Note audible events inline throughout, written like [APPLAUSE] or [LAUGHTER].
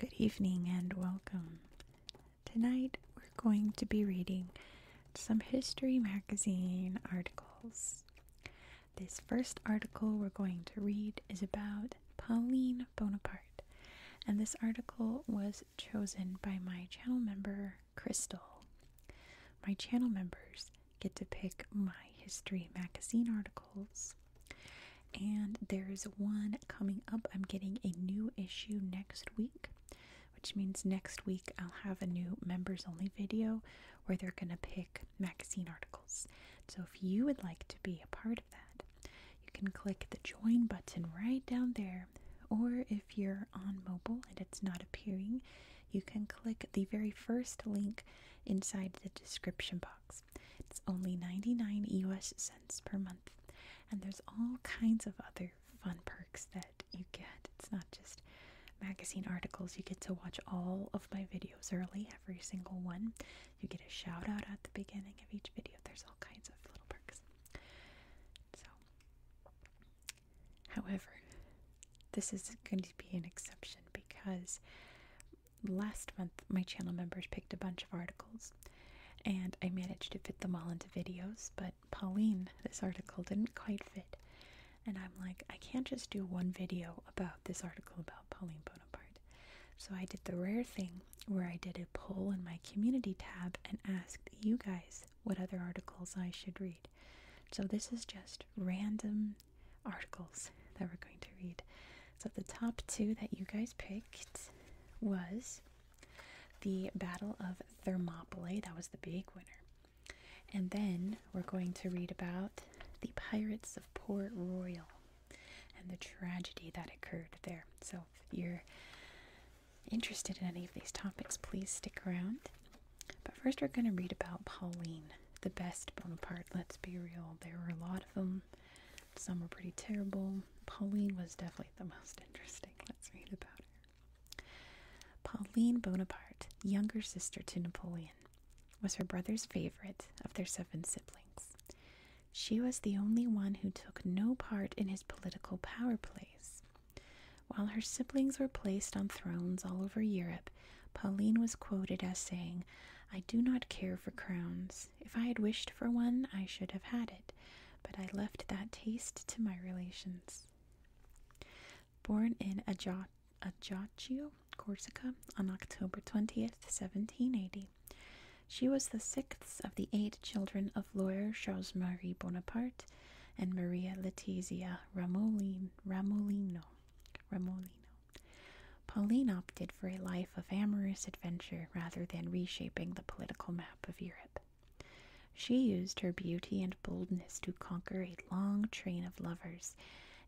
Good evening and welcome. Tonight we're going to be reading some History Magazine articles. This first article we're going to read is about Pauline Bonaparte. And this article was chosen by my channel member, Crystal. My channel members get to pick my history magazine articles. And there's one coming up. I'm getting a new issue next week, which means next week I'll have a new members only video where they're going to pick magazine articles. So if you would like to be a part of that, you can click the join button right down there. Or if you're on mobile and it's not appearing, you can click the very first link inside the description box. It's only 99 US cents per month, and there's all kinds of other fun perks that you get. It's not just magazine articles, you get to watch all of my videos early, every single one. You get a shout out at the beginning of each video. There's all kinds of little perks. So, however, this is going to be an exception because last month my channel members picked a bunch of articles and I managed to fit them all into videos, but Pauline, this article didn't quite fit. And I'm like, I can't just do one video about this article about Pauline Bonaparte. So I did the rare thing where I did a poll in my community tab and asked you guys what other articles I should read. So this is just random articles that we're going to read. So the top two that you guys picked was the Battle of Thermopylae. That was the big winner. And then we're going to read about the Pirates of Port Royal and the tragedy that occurred there. So if you're interested in any of these topics, please stick around. But first, we're going to read about Pauline, the best Bonaparte. Let's be real, there were a lot of them. Some were pretty terrible. Pauline was definitely the most [LAUGHS] interesting. Let's read about her. Pauline Bonaparte, younger sister to Napoleon, was her brother's favorite of their seven siblings. She was the only one who took no part in his political power plays. While her siblings were placed on thrones all over Europe, Pauline was quoted as saying, I do not care for crowns. If I had wished for one, I should have had it, but I left that taste to my relations. Born in Ajaccio, Corsica, on October 20th, 1780, she was the sixth of the eight children of lawyer Charles Marie Bonaparte and Maria Letizia Ramolin, Ramolino. Pauline opted for a life of amorous adventure rather than reshaping the political map of Europe. She used her beauty and boldness to conquer a long train of lovers,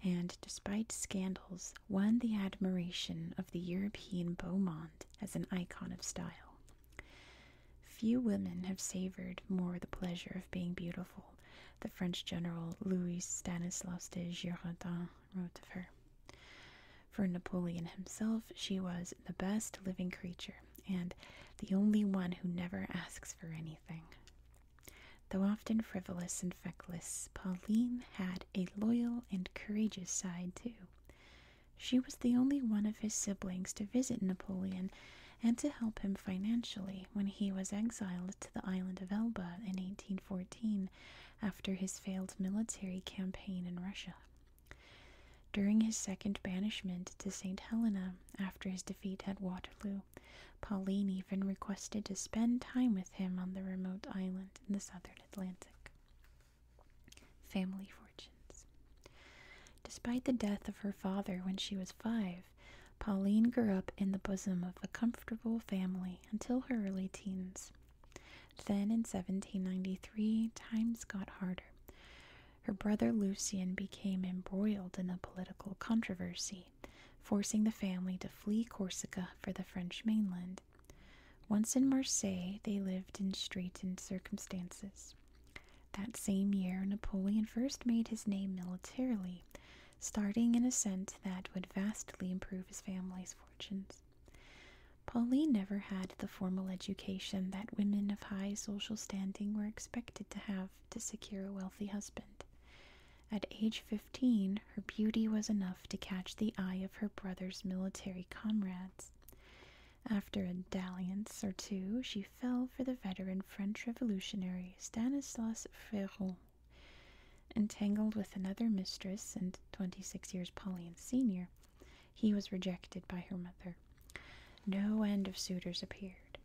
and despite scandals, won the admiration of the European beau as an icon of style. Few women have savored more the pleasure of being beautiful, the French general Louis Stanislas de Girardin wrote of her. For Napoleon himself, she was the best living creature and the only one who never asks for anything. Though often frivolous and feckless, Pauline had a loyal and courageous side too. She was the only one of his siblings to visit Napoleon and to help him financially when he was exiled to the island of Elba in 1814 after his failed military campaign in Russia. During his second banishment to St. Helena after his defeat at Waterloo, Pauline even requested to spend time with him on the remote island in the southern Atlantic. Family fortunes. Despite the death of her father when she was five, Pauline grew up in the bosom of a comfortable family until her early teens. Then in 1793, times got harder. Her brother Lucien became embroiled in a political controversy, forcing the family to flee Corsica for the French mainland. Once in Marseille, they lived in straitened circumstances. That same year, Napoleon first made his name militarily, starting an ascent that would vastly improve his family's fortunes. Pauline never had the formal education that women of high social standing were expected to have to secure a wealthy husband. At age 15, her beauty was enough to catch the eye of her brother's military comrades. After a dalliance or two, she fell for the veteran French revolutionary Stanislas Ferrand. Entangled with another mistress and 26 years Pauline's senior, he was rejected by her mother. No end of suitors appeared.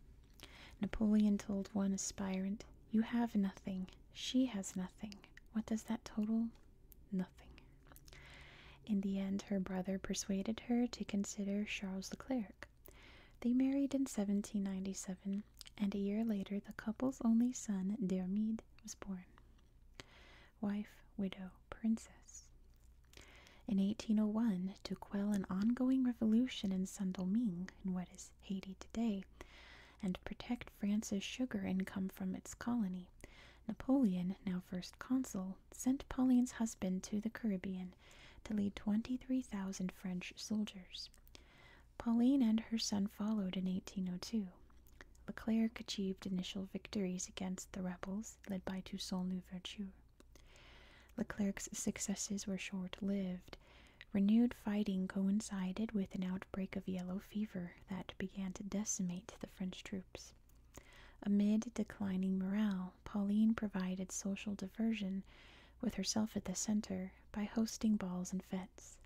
Napoleon told one aspirant, You have nothing. She has nothing. What does that total? Nothing. In the end, her brother persuaded her to consider Charles the Clerc. They married in 1797, and a year later, the couple's only son, Dermide, was born. Wife, widow, princess. In 1801, to quell an ongoing revolution in Saint Domingue, in what is Haiti today, and protect France's sugar income from its colony, Napoleon, now first consul, sent Pauline's husband to the Caribbean to lead 23,000 French soldiers. Pauline and her son followed in 1802. Leclerc achieved initial victories against the rebels, led by Toussaint Louverture. Leclerc's successes were short lived. Renewed fighting coincided with an outbreak of yellow fever that began to decimate the French troops. Amid declining morale, Pauline provided social diversion with herself at the center by hosting balls and fetes.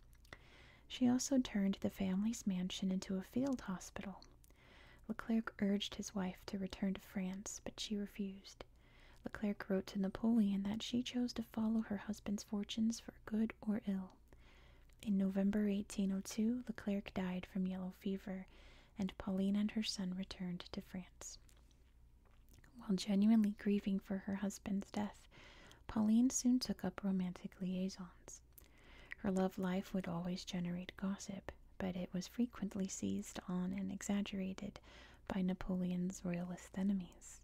She also turned the family's mansion into a field hospital. Leclerc urged his wife to return to France, but she refused. Leclerc wrote to Napoleon that she chose to follow her husband's fortunes for good or ill. In November 1802, Leclerc died from yellow fever, and Pauline and her son returned to France. While genuinely grieving for her husband's death, Pauline soon took up romantic liaisons. Her love life would always generate gossip, but it was frequently seized on and exaggerated by Napoleon's royalist enemies.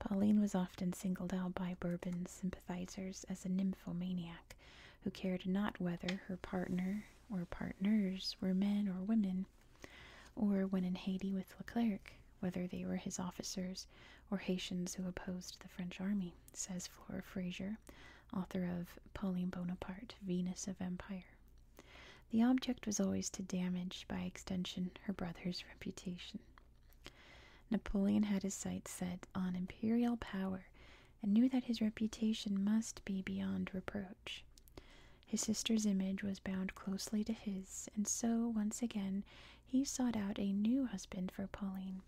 Pauline was often singled out by Bourbon sympathizers as a nymphomaniac who cared not whether her partner or partners were men or women, or when in Haiti with Leclerc, whether they were his officers or Haitians who opposed the French army, says Flora Fraser, author of Pauline Bonaparte, Venus of Empire. The object was always to damage, by extension, her brother's reputation. Napoleon had his sights set on imperial power and knew that his reputation must be beyond reproach. His sister's image was bound closely to his, and so, once again, he sought out a new husband for Pauline,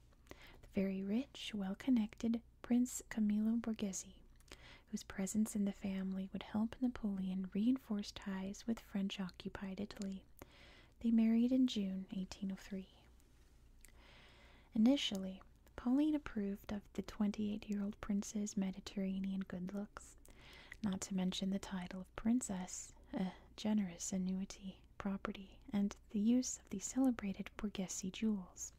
the very rich, well connected Prince Camillo Borghese, whose presence in the family would help Napoleon reinforce ties with French occupied Italy. They married in June 1803. Initially, Pauline approved of the 28 year old prince's Mediterranean good looks, not to mention the title of princess, a generous annuity, property, and the use of the celebrated Borghese jewels.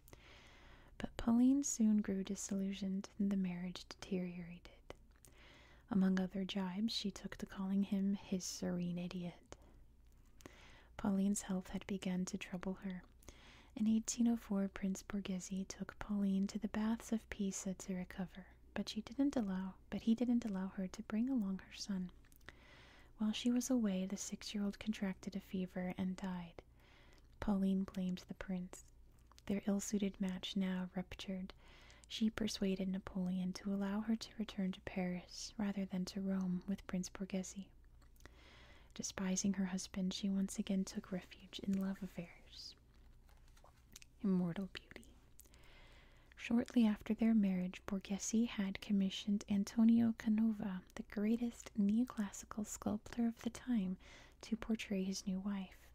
But Pauline soon grew disillusioned and the marriage deteriorated. Among other jibes, she took to calling him his Serene Idiot Pauline's health had begun to trouble her. In 1804, Prince Borghese took Pauline to the baths of Pisa to recover, but he didn't allow her to bring along her son. While she was away, the six-year-old contracted a fever and died. Pauline blamed the prince. Their ill-suited match now ruptured. She persuaded Napoleon to allow her to return to Paris rather than to Rome with Prince Borghese. Despising her husband, she once again took refuge in love affairs. Immortal Beauty. Shortly after their marriage, Borghese had commissioned Antonio Canova, the greatest neoclassical sculptor of the time, to portray his new wife.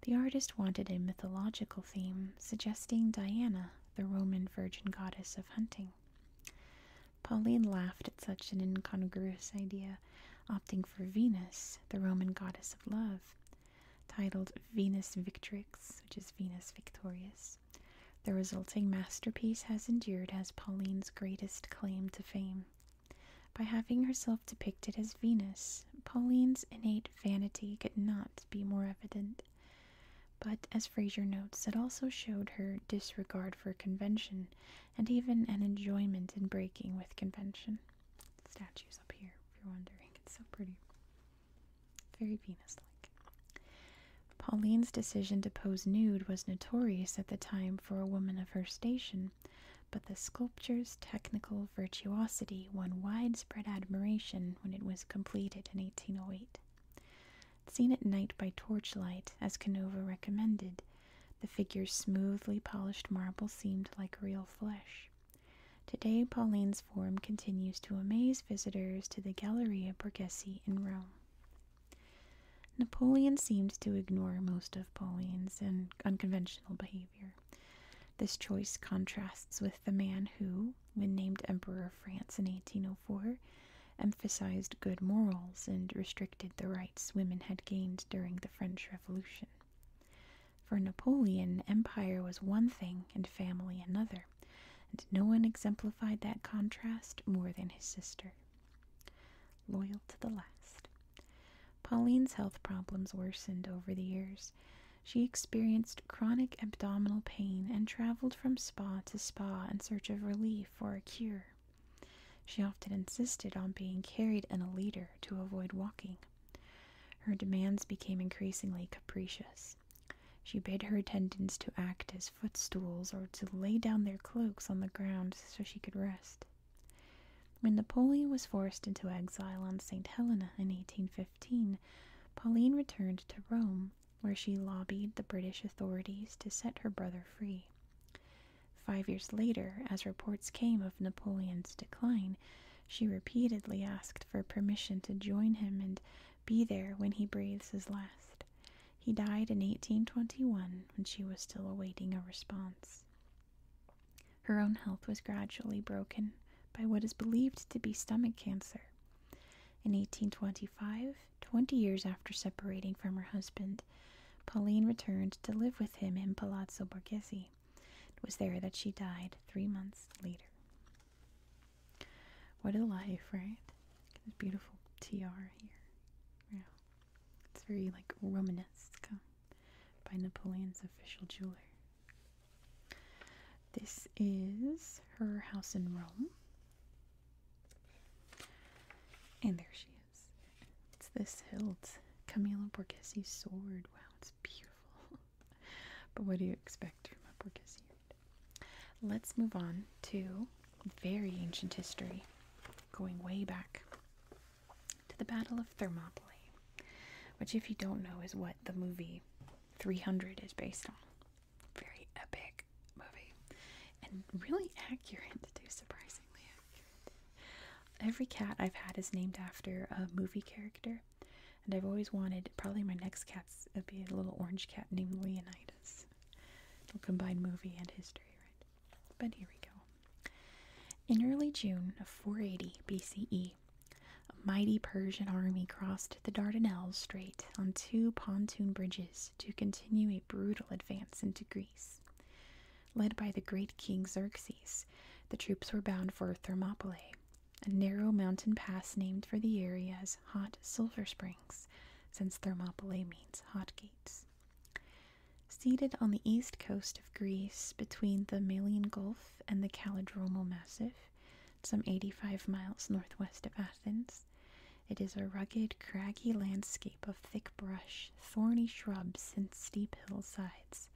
The artist wanted a mythological theme, suggesting Diana, the Roman virgin goddess of hunting. Pauline laughed at such an incongruous idea, opting for Venus, the Roman goddess of love. Titled Venus Victrix, which is Venus Victorious, the resulting masterpiece has endured as Pauline's greatest claim to fame. By having herself depicted as Venus, Pauline's innate vanity could not be more evident. But, as Fraser notes, it also showed her disregard for convention and even an enjoyment in breaking with convention. Statues up here, if you're wondering. It's so pretty. Very Venus like. Pauline's decision to pose nude was notorious at the time for a woman of her station, but the sculpture's technical virtuosity won widespread admiration when it was completed in 1808. Seen at night by torchlight, as Canova recommended, the figure's smoothly polished marble seemed like real flesh. Today, Pauline's form continues to amaze visitors to the Galleria Borghese in Rome. Napoleon seemed to ignore most of Pauline's unconventional behavior. This choice contrasts with the man who, when named Emperor of France in 1804, emphasized good morals and restricted the rights women had gained during the French Revolution. For Napoleon, empire was one thing and family another, and no one exemplified that contrast more than his sister. Loyal to the last. Pauline's health problems worsened over the years. She experienced chronic abdominal pain and traveled from spa to spa in search of relief for a cure. She often insisted on being carried in a litter to avoid walking. Her demands became increasingly capricious. She bade her attendants to act as footstools or to lay down their cloaks on the ground so she could rest. When Napoleon was forced into exile on St. Helena in 1815, Pauline returned to Rome where she lobbied the British authorities to set her brother free. Five years later, as reports came of Napoleon's decline, she repeatedly asked for permission to join him and be there when he breathes his last. He died in 1821 when she was still awaiting a response. Her own health was gradually broken by what is believed to be stomach cancer. In 1825, Twenty years after separating from her husband, Pauline returned to live with him in Palazzo Borghese. It was there that she died three months later. What a life, right? This beautiful tiara here. It's very like Romanesque by Napoleon's official jeweler. This is her house in Rome. And there she is. It's this hilt. Camillo Borghese sword. Wow, it's beautiful. [LAUGHS] but what do you expect from a Borghese? Let's move on to very ancient history, going way back to the Battle of Thermopylae, which, if you don't know, is what the movie 300 is based on very epic movie and really accurate [LAUGHS] too surprisingly accurate every cat i've had is named after a movie character and i've always wanted probably my next cat's would uh, be a little orange cat named leonidas it'll combine movie and history right but here we go in early june of 480 bce a mighty Persian army crossed the Dardanelles Strait on two pontoon bridges to continue a brutal advance into Greece. Led by the great king Xerxes, the troops were bound for Thermopylae, a narrow mountain pass named for the area's Hot Silver Springs, since Thermopylae means hot gates. Seated on the east coast of Greece between the Malian Gulf and the Calidromal Massif, some 85 miles northwest of Athens, it is a rugged, craggy landscape of thick brush, thorny shrubs, and steep hillsides,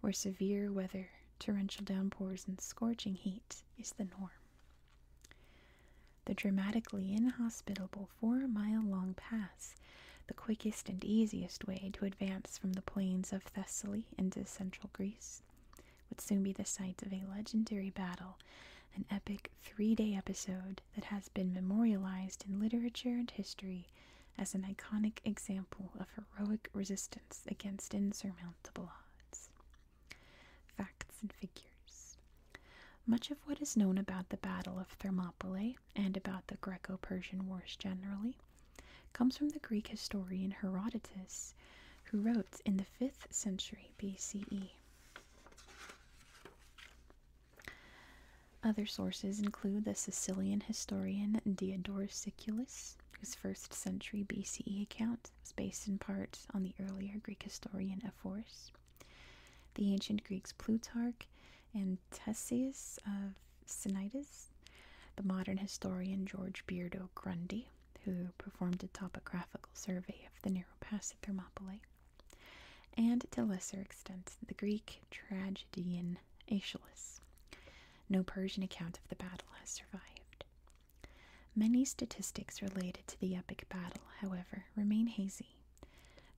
where severe weather, torrential downpours, and scorching heat is the norm. The dramatically inhospitable four mile long pass, the quickest and easiest way to advance from the plains of Thessaly into central Greece, would soon be the site of a legendary battle, an epic three day episode that has been memorialized in literature and history as an iconic example of heroic resistance against insurmountable odds. Facts and figures. Much of what is known about the Battle of Thermopylae and about the Greco Persian Wars generally comes from the Greek historian Herodotus, who wrote in the 5th century BCE. Other sources include the Sicilian historian Diodorus Siculus, whose first century BCE account is based in part on the earlier Greek historian Ephorus. The ancient Greeks Plutarch and Ctesias of Sinitis, the modern historian George Beardo Grundy, who performed a topographical survey of the narrow pass at Thermopylae, and to lesser extent the Greek tragedian Aeschylus. No Persian account of the battle has survived. Many statistics related to the epic battle, however, remain hazy.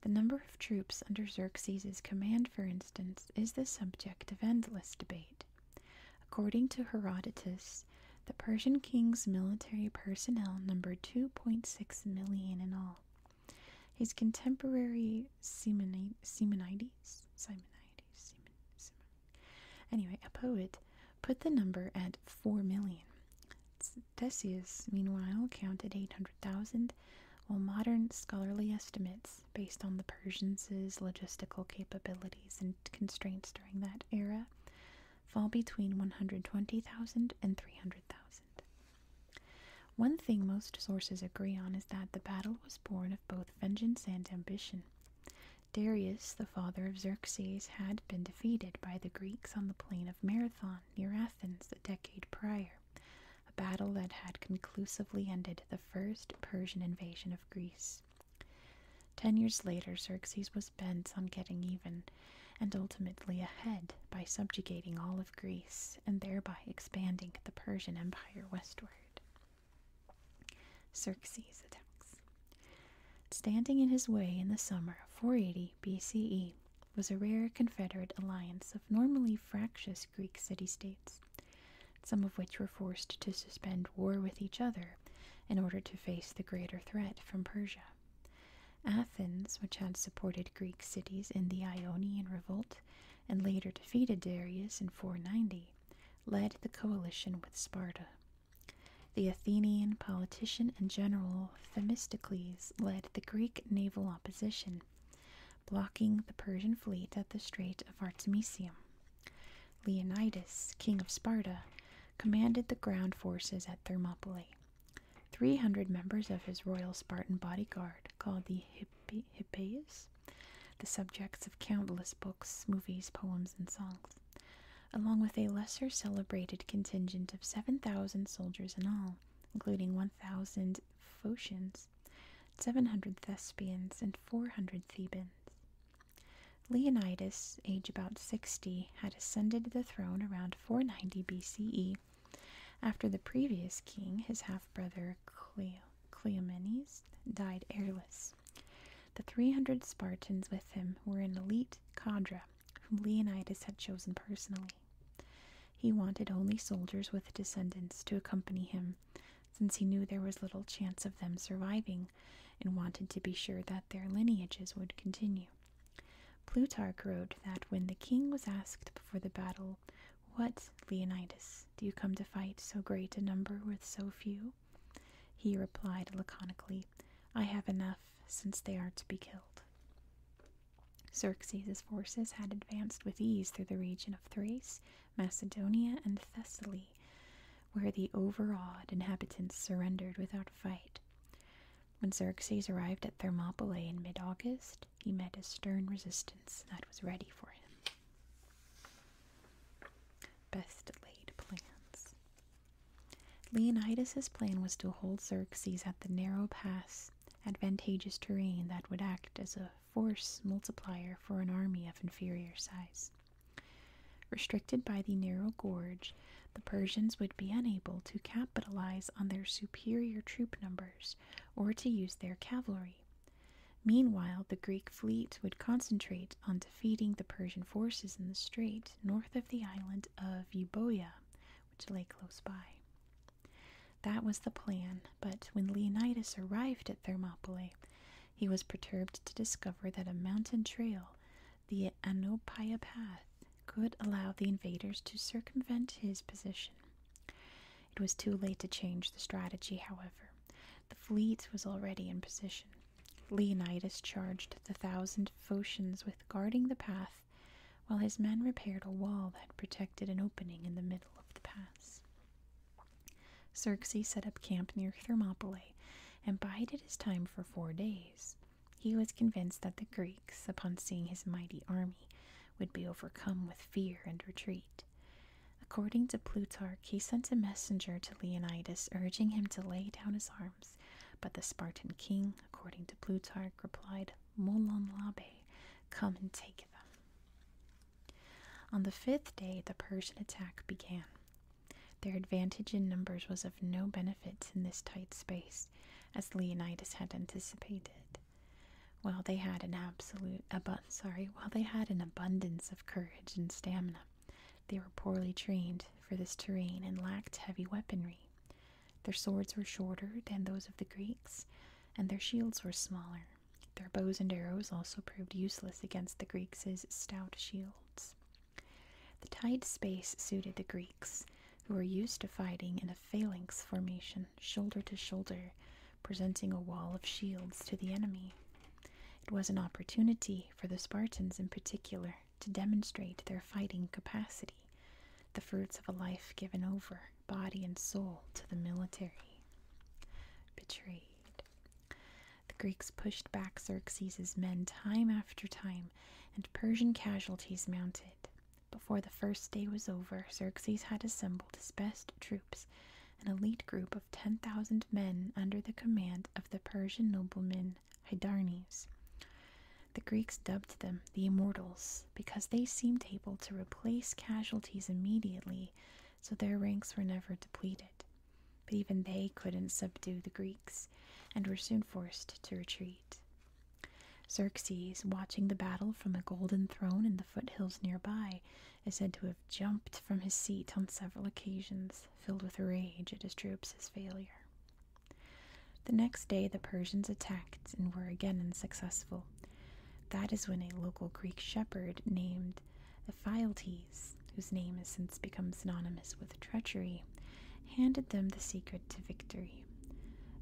The number of troops under Xerxes' command, for instance, is the subject of endless debate. According to Herodotus, the Persian king's military personnel numbered 2.6 million in all. His contemporary Simonides, Simonides, Simonides, anyway, a poet, put the number at four million. Decius, meanwhile, counted 800,000, while modern scholarly estimates, based on the Persians' logistical capabilities and constraints during that era, fall between 120,000 and 300,000. One thing most sources agree on is that the battle was born of both vengeance and ambition. Darius, the father of Xerxes, had been defeated by the Greeks on the plain of Marathon near Athens a decade prior, a battle that had conclusively ended the first Persian invasion of Greece. Ten years later, Xerxes was bent on getting even, and ultimately ahead by subjugating all of Greece and thereby expanding the Persian Empire westward. Xerxes attacks. Standing in his way in the summer of 480 BCE was a rare Confederate alliance of normally fractious Greek city states, some of which were forced to suspend war with each other in order to face the greater threat from Persia. Athens, which had supported Greek cities in the Ionian Revolt and later defeated Darius in 490, led the coalition with Sparta. The Athenian politician and general Themistocles led the Greek naval opposition, blocking the Persian fleet at the Strait of Artemisium. Leonidas, king of Sparta, commanded the ground forces at Thermopylae. Three hundred members of his royal Spartan bodyguard, called the Hippias, the subjects of countless books, movies, poems, and songs, along with a lesser celebrated contingent of seven thousand soldiers in all, including one thousand Phocians, seven hundred Thespians, and four hundred Thebans. Leonidas, age about 60, had ascended the throne around 490 BCE after the previous king, his half brother Cleomenes died heirless. The 300 Spartans with him were an elite cadre whom Leonidas had chosen personally. He wanted only soldiers with descendants to accompany him, since he knew there was little chance of them surviving and wanted to be sure that their lineages would continue. Plutarch wrote that when the king was asked before the battle, What, Leonidas, do you come to fight so great a number with so few? He replied laconically, I have enough, since they are to be killed. Xerxes's forces had advanced with ease through the region of Thrace, Macedonia, and Thessaly, where the overawed inhabitants surrendered without a fight. When Xerxes arrived at Thermopylae in mid August, he met a stern resistance that was ready for him. Best laid plans. Leonidas's plan was to hold Xerxes at the narrow pass, advantageous terrain that would act as a force multiplier for an army of inferior size. Restricted by the narrow gorge, the Persians would be unable to capitalize on their superior troop numbers or to use their cavalry. Meanwhile, the Greek fleet would concentrate on defeating the Persian forces in the strait north of the island of Euboea, which lay close by. That was the plan, but when Leonidas arrived at Thermopylae, he was perturbed to discover that a mountain trail, the Anopaia Path, could allow the invaders to circumvent his position. It was too late to change the strategy, however. The fleet was already in position. Leonidas charged the thousand Phocians with guarding the path, while his men repaired a wall that protected an opening in the middle of the pass. Xerxes set up camp near Thermopylae and bided his time for four days. He was convinced that the Greeks, upon seeing his mighty army, would be overcome with fear and retreat. According to Plutarch, he sent a messenger to Leonidas urging him to lay down his arms, but the Spartan king, according to Plutarch, replied, Molon labe, come and take them. On the fifth day, the Persian attack began. Their advantage in numbers was of no benefit in this tight space, as Leonidas had anticipated. While they had an absolute sorry, while they had an abundance of courage and stamina, they were poorly trained for this terrain and lacked heavy weaponry. Their swords were shorter than those of the Greeks, and their shields were smaller. Their bows and arrows also proved useless against the Greeks' stout shields. The tight space suited the Greeks, who were used to fighting in a phalanx formation, shoulder to shoulder, presenting a wall of shields to the enemy. It was an opportunity for the Spartans in particular to demonstrate their fighting capacity, the fruits of a life given over, body and soul, to the military. Betrayed. The Greeks pushed back Xerxes's men time after time, and Persian casualties mounted. Before the first day was over, Xerxes had assembled his best troops, an elite group of 10,000 men under the command of the Persian nobleman Hydarnes. The Greeks dubbed them the Immortals because they seemed able to replace casualties immediately, so their ranks were never depleted. But even they couldn't subdue the Greeks and were soon forced to retreat. Xerxes, watching the battle from a golden throne in the foothills nearby, is said to have jumped from his seat on several occasions, filled with rage at his troops' failure. The next day, the Persians attacked and were again unsuccessful. That is when a local Greek shepherd named Ephialtes, whose name has since become synonymous with treachery, handed them the secret to victory history.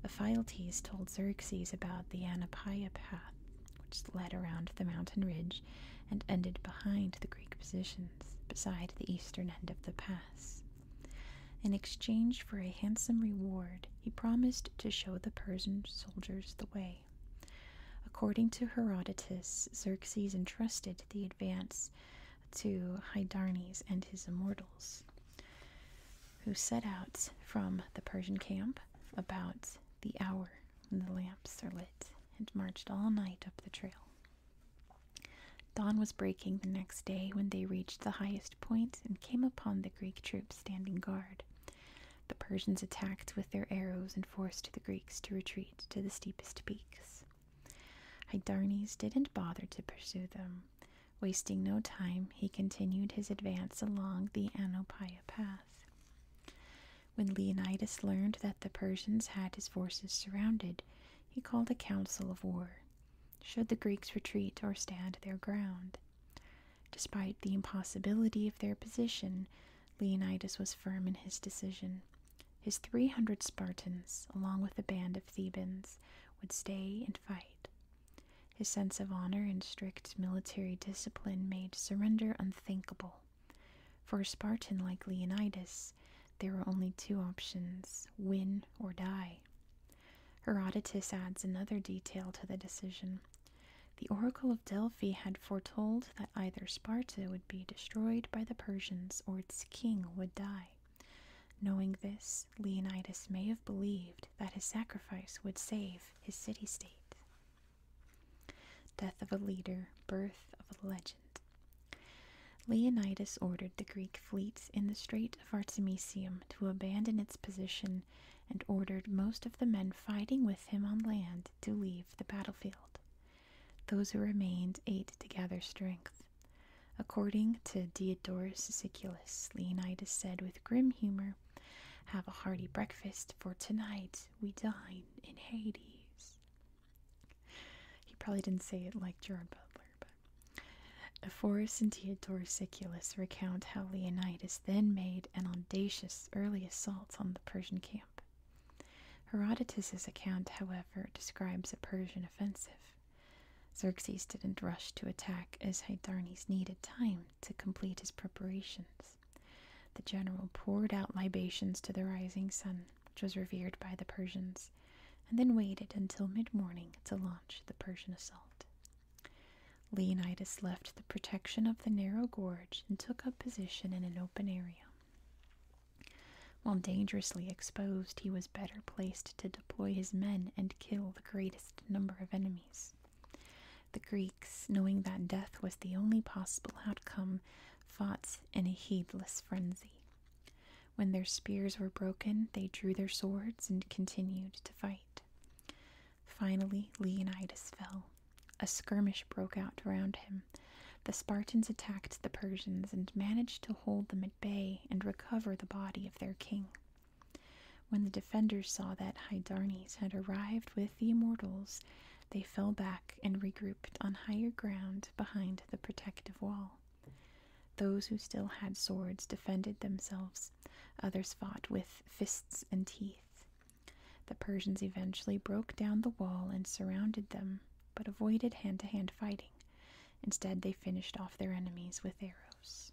Ephialtes told Xerxes about the Anapia path, which led around the mountain ridge and ended behind the Greek positions, beside the eastern end of the pass. In exchange for a handsome reward, he promised to show the Persian soldiers the way. According to Herodotus, Xerxes entrusted the advance to Hydarnes and his immortals who set out from the Persian camp about the hour when the lamps are lit and marched all night up the trail. Dawn was breaking the next day when they reached the highest point and came upon the Greek troops standing guard. The Persians attacked with their arrows and forced the Greeks to retreat to the steepest peaks. Hydarnes didn't bother to pursue them, Wasting no time, he continued his advance along the Anopaia path. When Leonidas learned that the Persians had his forces surrounded, he called a council of war. Should the Greeks retreat or stand their ground? Despite the impossibility of their position, Leonidas was firm in his decision. His 300 Spartans, along with a band of Thebans, would stay and fight. His sense of honor and strict military discipline made surrender unthinkable. For a Spartan like Leonidas, there were only two options win or die. Herodotus adds another detail to the decision. The Oracle of Delphi had foretold that either Sparta would be destroyed by the Persians or its king would die. Knowing this, Leonidas may have believed that his sacrifice would save his city state. Death of a leader, birth of a legend. Leonidas ordered the Greek fleets in the Strait of Artemisium to abandon its position and ordered most of the men fighting with him on land to leave the battlefield. Those who remained ate to gather strength. According to Diodorus Siculus, Leonidas said with grim humor, have a hearty breakfast, for tonight we dine in Hades. He probably didn't say it like Gerard Butler, but. Ephorus and Theodore Siculus recount how Leonidas then made an audacious early assault on the Persian camp. Herodotus's account, however, describes a Persian offensive. Xerxes didn't rush to attack as Hydarnes needed time to complete his preparations. The general poured out libations to the rising sun, which was revered by the Persians, and then waited until mid morning to launch the Persian assault. Leonidas left the protection of the narrow gorge and took up position in an open area. While dangerously exposed, he was better placed to deploy his men and kill the greatest number of enemies. The Greeks, knowing that death was the only possible outcome, fought in a heedless frenzy. When their spears were broken, they drew their swords and continued to fight. Finally, Leonidas fell. A skirmish broke out around him. The Spartans attacked the Persians and managed to hold them at bay and recover the body of their king. When the defenders saw that Hydarnes had arrived with the immortals, they fell back and regrouped on higher ground behind the protective wall. Those who still had swords defended themselves, others fought with fists and teeth. The Persians eventually broke down the wall and surrounded them, but avoided hand to hand fighting. Instead, they finished off their enemies with arrows.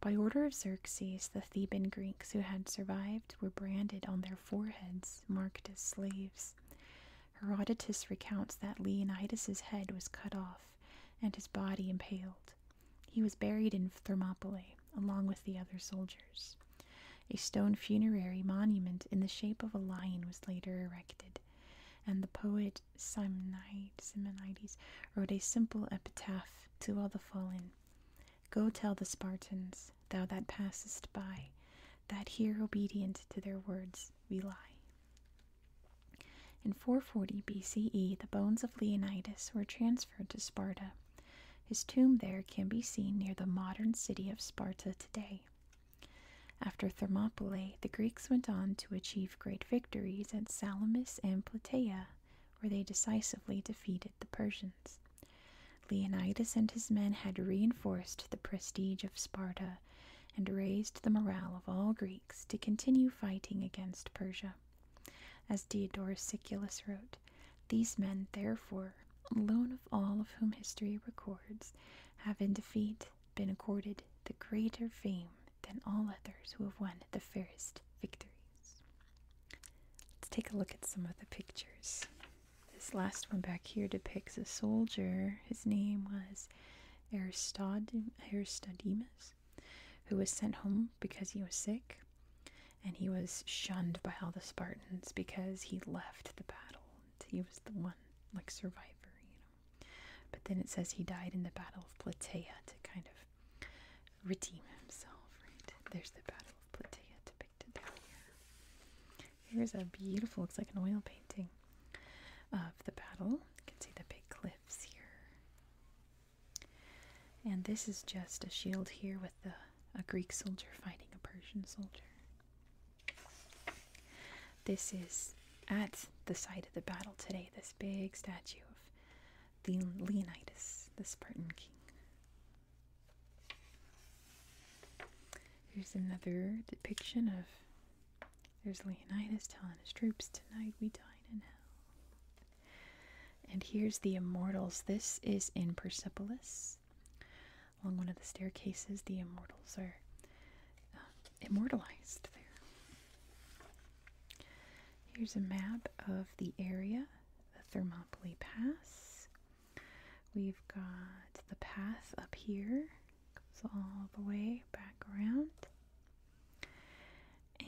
By order of Xerxes, the Theban Greeks who had survived were branded on their foreheads, marked as slaves. Herodotus recounts that Leonidas's head was cut off and his body impaled. He was buried in Thermopylae along with the other soldiers. A stone funerary monument in the shape of a lion was later erected, and the poet Simonides wrote a simple epitaph to all the fallen. Go tell the Spartans, thou that passest by, that here obedient to their words we lie. In 440 BCE, the bones of Leonidas were transferred to Sparta. His tomb there can be seen near the modern city of Sparta today. After Thermopylae, the Greeks went on to achieve great victories at Salamis and Plataea where they decisively defeated the Persians. Leonidas and his men had reinforced the prestige of Sparta and raised the morale of all Greeks to continue fighting against Persia. As Diodorus Siculus wrote, these men, therefore, alone of all of whom history records, have in defeat been accorded the greater fame than all others who have won the fairest victories. Let's take a look at some of the pictures. This last one back here depicts a soldier. His name was Aristodemus, who was sent home because he was sick, and he was shunned by all the Spartans because he left the battle. He was the one, like survivor, you know. But then it says he died in the Battle of Plataea to kind of redeem himself, right? There's the Battle of Plataea depicted down here. Here's a beautiful, looks like an oil painting of the battle. You can see the big cliffs here. And this is just a shield here with the, a Greek soldier fighting a Persian soldier. This is at the site of the battle today, this big statue of the Leonidas, the Spartan king. Here's another depiction of there's Leonidas telling his troops, Tonight we dine in hell. And here's the immortals. This is in Persepolis. Along one of the staircases, the immortals are um, immortalized there. Here's a map of the area, the Thermopylae Pass. We've got the path up here, goes all the way back around.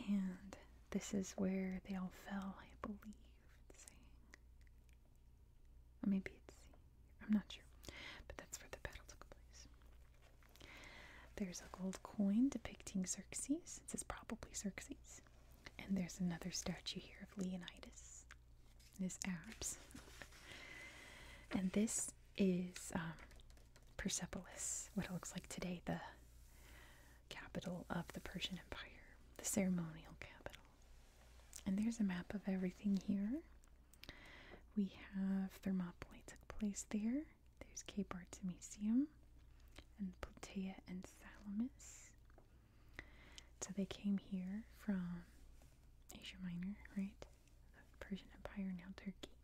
And this is where they all fell, I believe. saying. Or maybe it's, I'm not sure. But that's where the battle took place. There's a gold coin depicting Xerxes. It says probably Xerxes. And there's another statue here of Leonidas and his abs. and this is um, Persepolis, what it looks like today, the capital of the Persian Empire, the ceremonial capital. And there's a map of everything here. We have Thermopylae took place there. There's Cape Artemisium and Plataea and Salamis. So they came here from Asia Minor, right? The Persian Empire, now Turkey.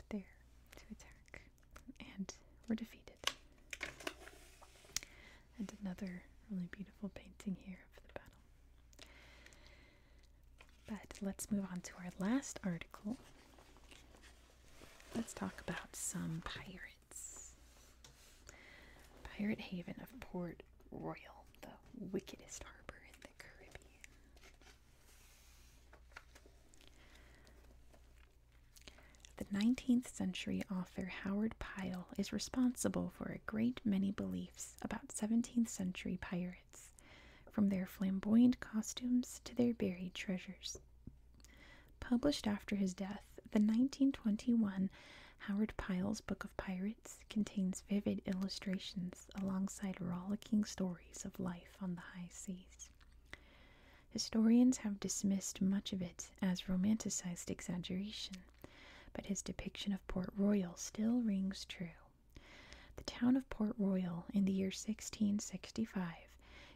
Up there to attack. And were defeated. And another really beautiful painting here of the battle. But let's move on to our last article, Let's talk about some pirates. Pirate Haven of Port Royal, the wickedest harbor in the Caribbean. The 19th century author Howard Pyle is responsible for a great many beliefs about 17th century pirates, from their flamboyant costumes to their buried treasures. Published after his death, the 1921 Howard Pyle's Book of Pirates contains vivid illustrations alongside rollicking stories of life on the high seas. Historians have dismissed much of it as romanticized exaggeration, but his depiction of Port Royal still rings true. The town of Port Royal in the year 1665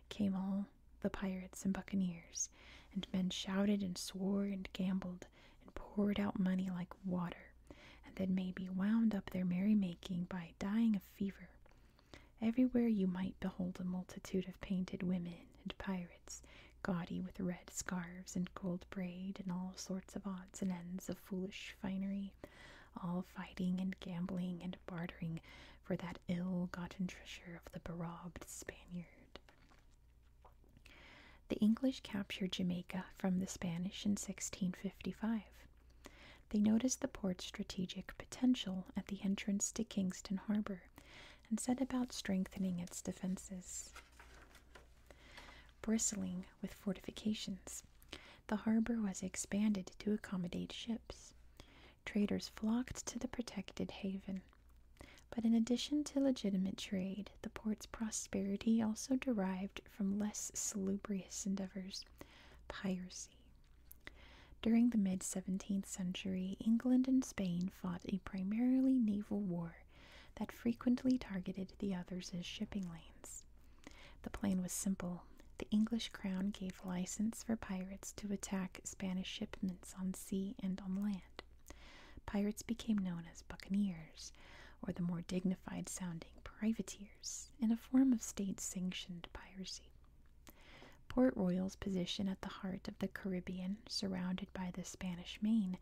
came all the pirates and buccaneers, and men shouted and swore and gambled and poured out money like water, and then maybe wound up their merry making by dying of fever. Everywhere you might behold a multitude of painted women and pirates, gaudy with red scarves and gold braid and all sorts of odds and ends of foolish finery, all fighting and gambling and bartering for that ill-gotten treasure of the berobbed Spaniard. The English captured Jamaica from the Spanish in 1655. They noticed the port's strategic potential at the entrance to Kingston Harbor and set about strengthening its defenses. Bristling with fortifications, the harbor was expanded to accommodate ships traders flocked to the protected haven. But in addition to legitimate trade, the port's prosperity also derived from less salubrious endeavors piracy. During the mid 17th century, England and Spain fought a primarily naval war that frequently targeted the other's shipping lanes. The plan was simple the English crown gave license for pirates to attack Spanish shipments on sea and on land. Pirates became known as buccaneers, or the more dignified sounding privateers, in a form of state sanctioned piracy. Port Royal's position at the heart of the Caribbean, surrounded by the Spanish Main,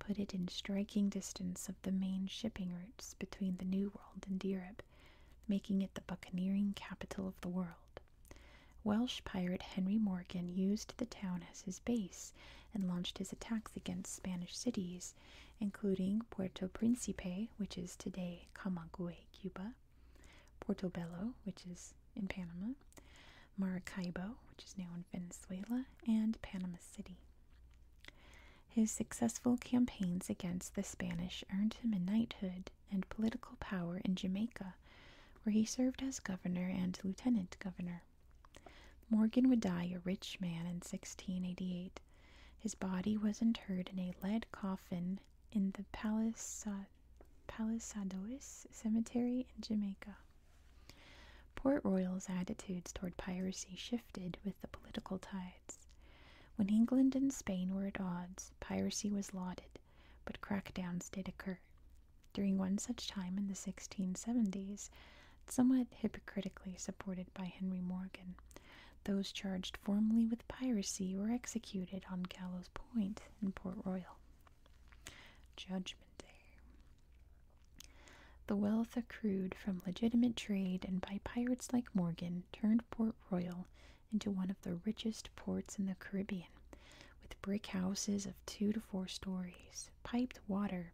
put it in striking distance of the main shipping routes between the New World and Europe, making it the buccaneering capital of the world. Welsh pirate Henry Morgan used the town as his base and launched his attacks against Spanish cities, including Puerto Principe, which is today Camagüey, Cuba, Portobello, which is in Panama, Maracaibo, which is now in Venezuela, and Panama City. His successful campaigns against the Spanish earned him a knighthood and political power in Jamaica, where he served as governor and lieutenant governor. Morgan would die a rich man in 1688. His body was interred in a lead coffin in the Palisa Palisadois Cemetery in Jamaica. Port Royal's attitudes toward piracy shifted with the political tides. When England and Spain were at odds, piracy was lauded but crackdowns did occur. During one such time in the 1670s, somewhat hypocritically supported by Henry Morgan, those charged formally with piracy were executed on Gallows Point in Port Royal. Judgment Day. The wealth accrued from legitimate trade and by pirates like Morgan turned Port Royal into one of the richest ports in the Caribbean, with brick houses of two to four stories, piped water,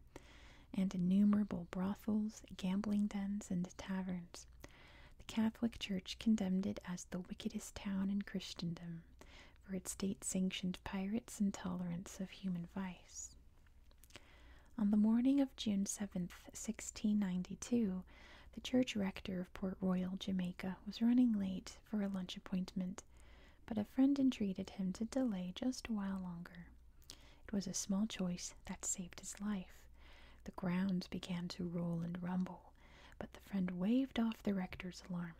and innumerable brothels, gambling dens, and taverns. The Catholic Church condemned it as the wickedest town in Christendom for its state sanctioned pirates and tolerance of human vice. On the morning of June 7, 1692, the church rector of Port Royal, Jamaica, was running late for a lunch appointment, but a friend entreated him to delay just a while longer. It was a small choice that saved his life. The ground began to roll and rumble, but the friend waved off the rector's alarm.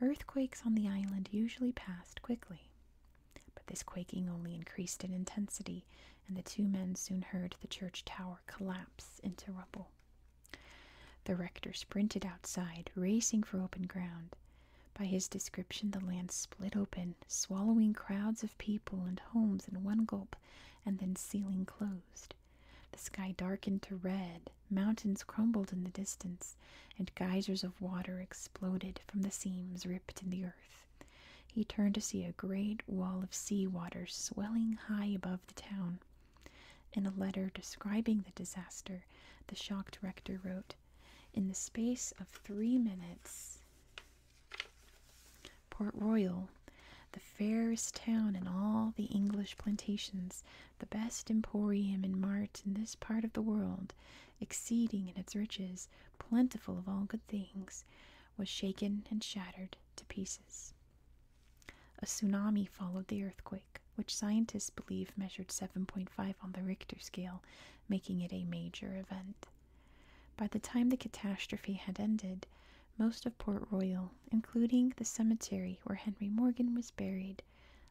Earthquakes on the island usually passed quickly. But this quaking only increased in intensity, and the two men soon heard the church tower collapse into rubble. The rector sprinted outside, racing for open ground. By his description, the land split open, swallowing crowds of people and homes in one gulp, and then sealing closed. The sky darkened to red, mountains crumbled in the distance, and geysers of water exploded from the seams ripped in the earth. He turned to see a great wall of sea water swelling high above the town. In a letter describing the disaster, the shocked rector wrote In the space of three minutes, Port Royal, the fairest town in all the English plantations, the best emporium and mart in this part of the world, exceeding in its riches, plentiful of all good things, was shaken and shattered to pieces. A tsunami followed the earthquake, which scientists believe measured 7.5 on the Richter scale, making it a major event. By the time the catastrophe had ended, most of Port Royal, including the cemetery where Henry Morgan was buried,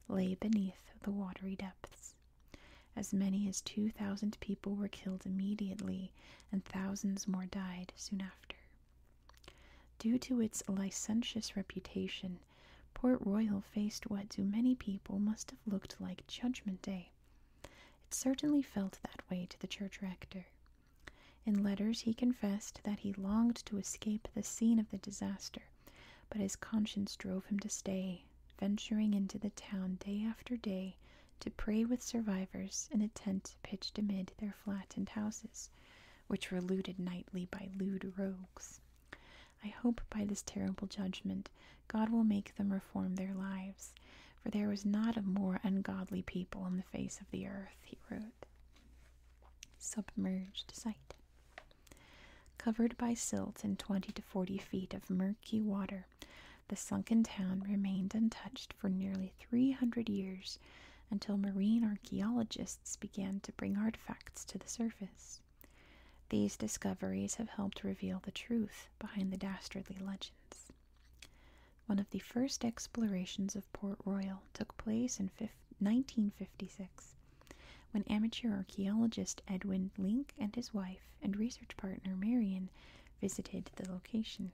lay beneath the watery depths. As many as 2,000 people were killed immediately, and thousands more died soon after. Due to its licentious reputation, Port Royal faced what to many people must have looked like Judgment Day. It certainly felt that way to the church rector. In letters, he confessed that he longed to escape the scene of the disaster, but his conscience drove him to stay, venturing into the town day after day to pray with survivors in a tent pitched amid their flattened houses which were looted nightly by lewd rogues. I hope by this terrible judgment God will make them reform their lives, for there was not a more ungodly people on the face of the earth, he wrote. Submerged site. Covered by silt and twenty to forty feet of murky water, the sunken town remained untouched for nearly three hundred years until marine archaeologists began to bring artifacts to the surface. These discoveries have helped reveal the truth behind the dastardly legends. One of the first explorations of Port Royal took place in 1956 when amateur archaeologist Edwin Link and his wife and research partner Marion visited the location.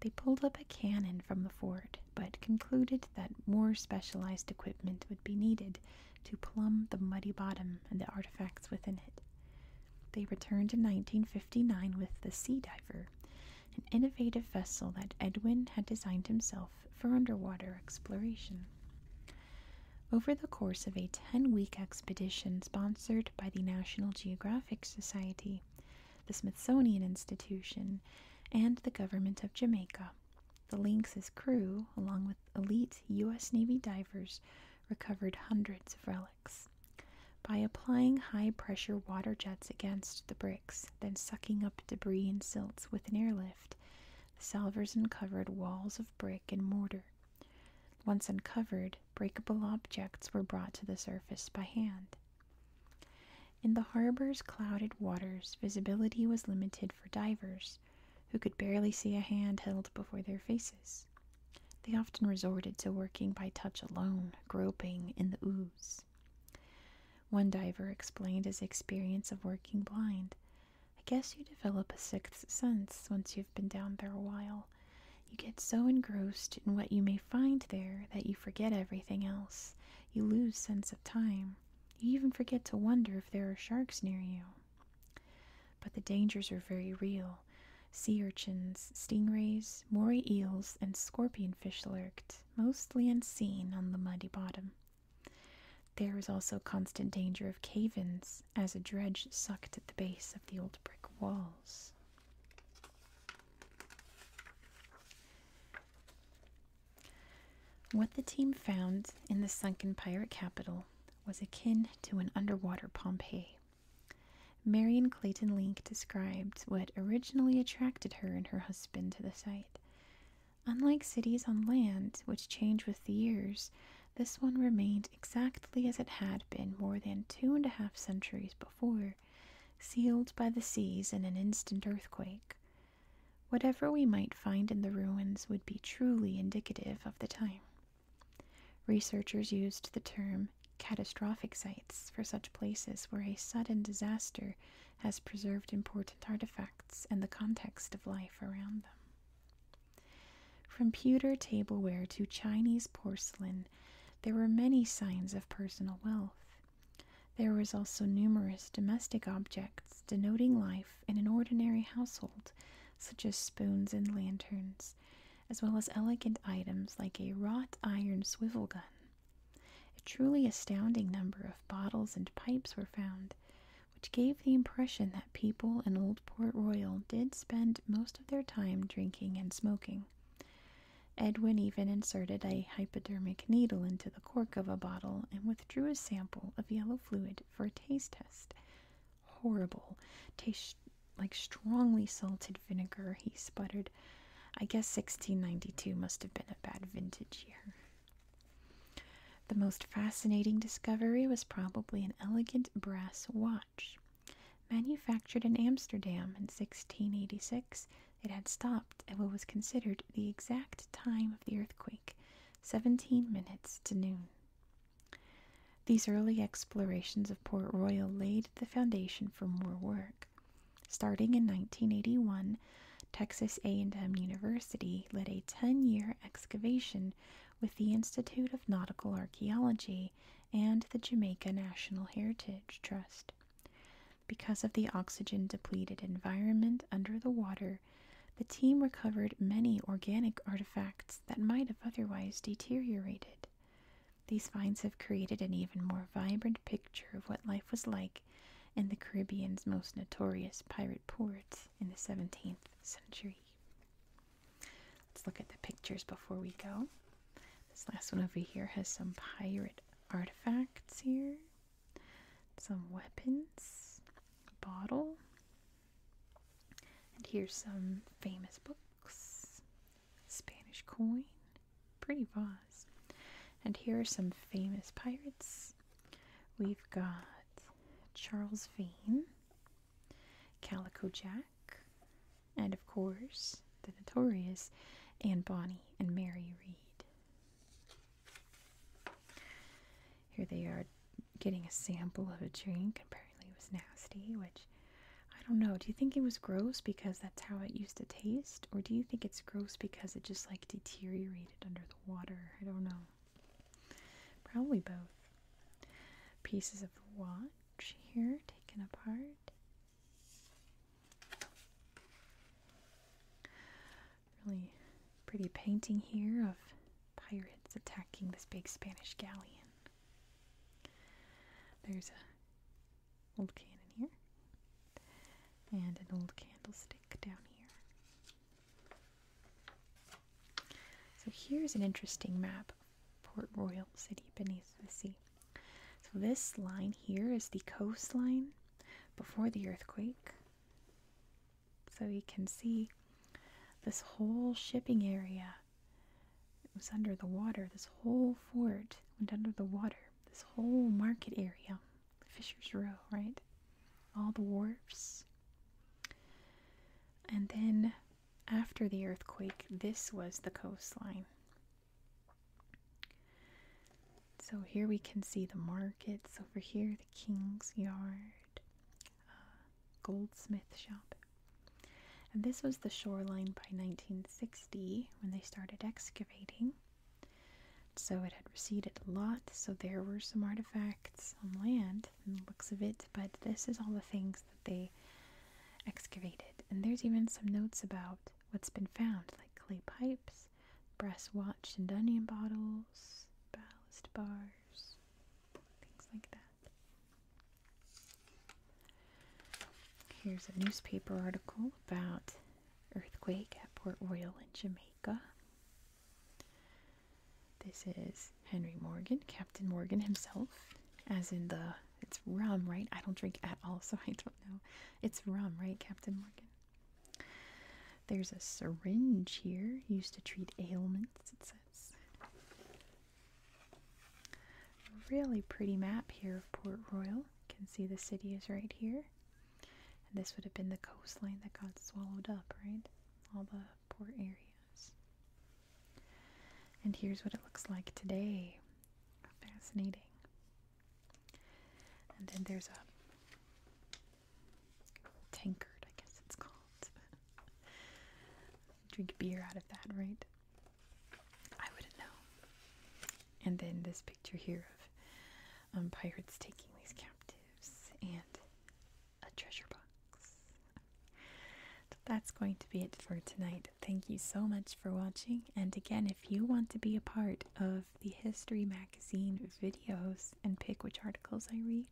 They pulled up a cannon from the fort, but concluded that more specialized equipment would be needed to plumb the muddy bottom and the artifacts within it. They returned in 1959 with the Sea Diver, an innovative vessel that Edwin had designed himself for underwater exploration. Over the course of a 10 week expedition sponsored by the National Geographic Society, the Smithsonian Institution, and the government of Jamaica. The Lynx's crew, along with elite U.S. Navy divers, recovered hundreds of relics. By applying high pressure water jets against the bricks, then sucking up debris and silts with an airlift, the salvors uncovered walls of brick and mortar. Once uncovered, breakable objects were brought to the surface by hand. In the harbor's clouded waters, visibility was limited for divers, who could barely see a hand held before their faces. They often resorted to working by touch alone, groping in the ooze. One diver explained his experience of working blind. I guess you develop a sixth sense once you've been down there a while. You get so engrossed in what you may find there that you forget everything else. You lose sense of time. You even forget to wonder if there are sharks near you. But the dangers were very real. Sea urchins, stingrays, moray eels, and scorpion fish lurked, mostly unseen, on the muddy bottom. There was also constant danger of cave ins as a dredge sucked at the base of the old brick walls. What the team found in the sunken pirate capital was akin to an underwater Pompeii. Marion Clayton Link described what originally attracted her and her husband to the site. Unlike cities on land, which change with the years, this one remained exactly as it had been more than two and a half centuries before, sealed by the seas in an instant earthquake, Whatever we might find in the ruins would be truly indicative of the time. Researchers used the term catastrophic sites for such places where a sudden disaster has preserved important artifacts and the context of life around them. From pewter tableware to Chinese porcelain, there were many signs of personal wealth. There was also numerous domestic objects denoting life in an ordinary household, such as spoons and lanterns, as well as elegant items like a wrought iron swivel gun. A truly astounding number of bottles and pipes were found, which gave the impression that people in Old Port Royal did spend most of their time drinking and smoking. Edwin even inserted a hypodermic needle into the cork of a bottle and with. Drew a sample of yellow fluid for a taste test. Horrible. Tastes like strongly salted vinegar, he sputtered. I guess 1692 must have been a bad vintage year. The most fascinating discovery was probably an elegant brass watch. Manufactured in Amsterdam in 1686, it had stopped at what was considered the exact time of the earthquake, 17 minutes to noon. These early explorations of Port Royal laid the foundation for more work. Starting in 1981, Texas A&M University led a 10-year excavation with the Institute of Nautical Archaeology and the Jamaica National Heritage Trust. Because of the oxygen depleted environment under the water, the team recovered many organic artifacts that might have otherwise deteriorated. These finds have created an even more vibrant picture of what life was like in the Caribbean's most notorious pirate port in the 17th century. Let's look at the pictures before we go. This last one over here has some pirate artifacts here some weapons, bottle, and here's some famous books, Spanish coin, pretty vase. And here are some famous pirates. We've got Charles Vane, Calico Jack, and of course, the notorious Anne Bonny and Mary Read. Here they are getting a sample of a drink. Apparently, it was nasty, which I don't know. Do you think it was gross because that's how it used to taste? Or do you think it's gross because it just like deteriorated under the water? I don't know. Probably both. Pieces of the watch here taken apart really pretty painting here of pirates attacking this big Spanish galleon. There's an old cannon here and an old candlestick down here. So here's an interesting map Port Royal City beneath the sea. So this line here is the coastline before the earthquake so you can see this whole shipping area. was under the water. This whole fort went under the water. This whole market area, Fisher's Row, right? All the wharves. And then after the earthquake, this was the coastline. So here we can see the markets over here. King's Yard uh, goldsmith shop. And this was the shoreline by 1960 when they started excavating. So it had receded a lot, so there were some artifacts on land and the looks of it, but this is all the things that they excavated. And there's even some notes about what's been found, like clay pipes brass watch and onion bottles, ballast bars, things like that. Here's a newspaper article about earthquake at Port Royal in Jamaica. This is Henry Morgan, Captain Morgan himself, as in the it's rum, right? I don't drink at all, [LAUGHS] so I don't know. It's rum, right, Captain Morgan? There's a syringe here used to treat ailments, it says. Really pretty map here of Port Royal. You can see the city is right here. this would have been the coastline that got swallowed up, right? All the port areas. And here's what it looks like today. Fascinating. And then there's a tankard, I guess it's called. [LAUGHS] Drink beer out of that, right? I wouldn't know. And then this picture here of um, pirates taking these captives and a treasure box. that's going to be it for tonight. Thank you so much for watching. And again, if you want to be a part of the History Magazine videos and pick which articles I read.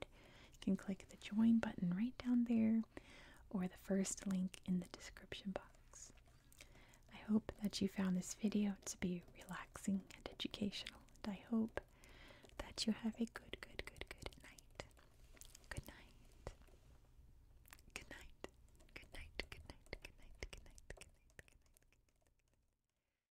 You can click the join button right down there or the first link in the description box. I hope that you found this video to be relaxing and educational, and I hope that you have a good, good, good, Good night. Good night. Good night. Good night. Good night. Good night. Good night. Good night. Good night.